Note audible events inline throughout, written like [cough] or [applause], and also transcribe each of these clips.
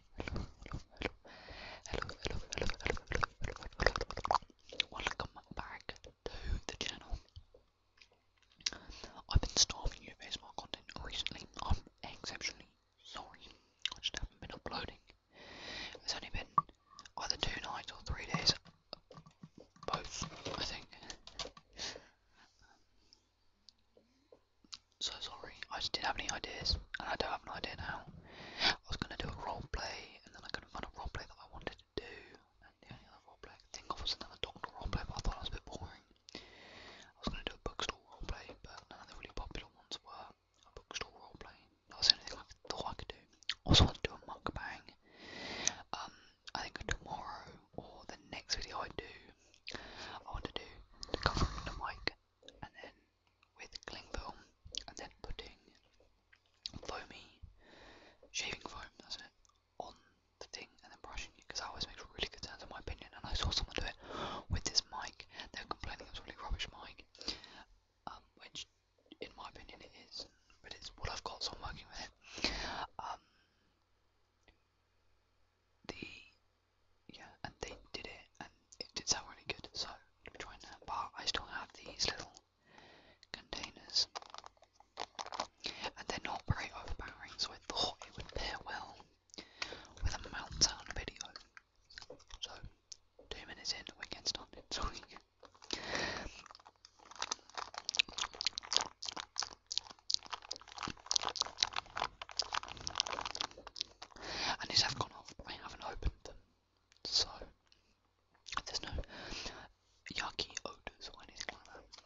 hello, hello, hello, hello, hello, hello. Welcome back to the channel. I've been starving you for ASMR content recently. I'm exceptionally sorry. I just haven't been uploading. It's only been either two nights or three days. Both, I think. So sorry, I just didn't have any ideas, and I don't have an idea now. I was going to do a role play, and then I couldn't find a role play that I wanted to do, and the only other play, I think of was another doctor roleplay, but I thought it was a bit boring. I was going to do a bookstore play, but none of the really popular ones were a bookstore play. That was the only thing I thought I could do. I Also, want to do a mukbang. Um, I think tomorrow or the next video I do, I want to do covering the mic and then with cling film and then putting foamy shaving foam, that's it, on the thing and then brushing it because I always make really good sounds in my opinion. And I saw someone do it with this mic, they were complaining it was really rubbish mic, um, which in my opinion it is, but it's what I've got, so I'm working with it. Um, the yeah, and they did it, and it did sound really good. So I'm gonna be But I still have these little containers, and they're not very overpowering, so I thought it would pair well with a mountain Sound video. So two minutes in, we can't get started. [laughs] Sorry. And these have gone off, I haven't opened them. So, there's no yucky odours or anything like that.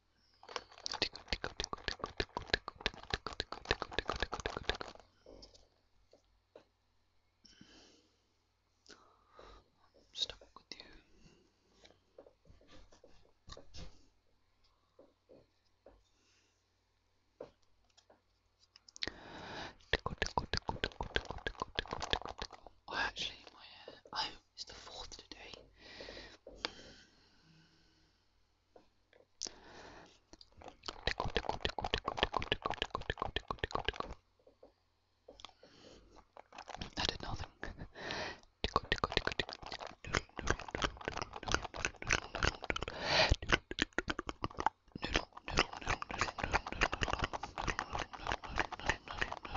I'm stuck with you. I oh, actually, my hair, uh, I'm is dus de volgende day. I did nothing.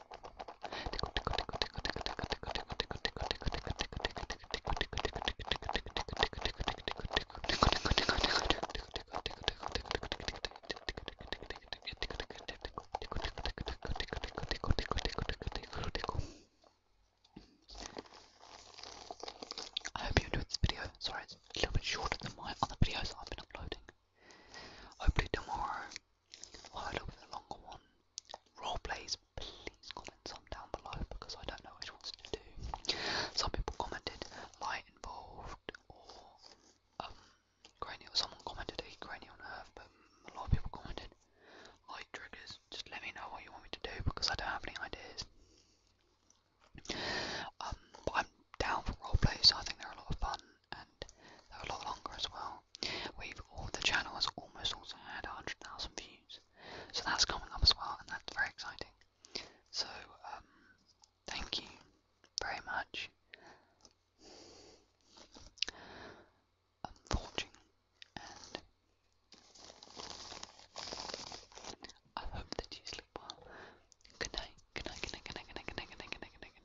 I hope you enjoyed this video. Sorry, it's a little bit shorter than my other videos I've been uploading. Hopefully tomorrow Followed up with a longer one. Role plays, please comment some down below because I don't know which ones to do. Some people commented light involved or um cranial. Someone commented a cranial nerve, but a lot of people commented light triggers. Just let me know what you want me to do because I don't have any ideas. Um, but I'm down for roleplays, so I think they're a lot of fun and they're a lot longer as well. We've all the channel has almost also had 100,000 views, so that's coming up as well, and that's very exciting. So um, thank you very much for watching, and I hope that you sleep well. Good night. Good night. Good night. Good night. Good night. Good night. Good night. Good night. Good night. Good night.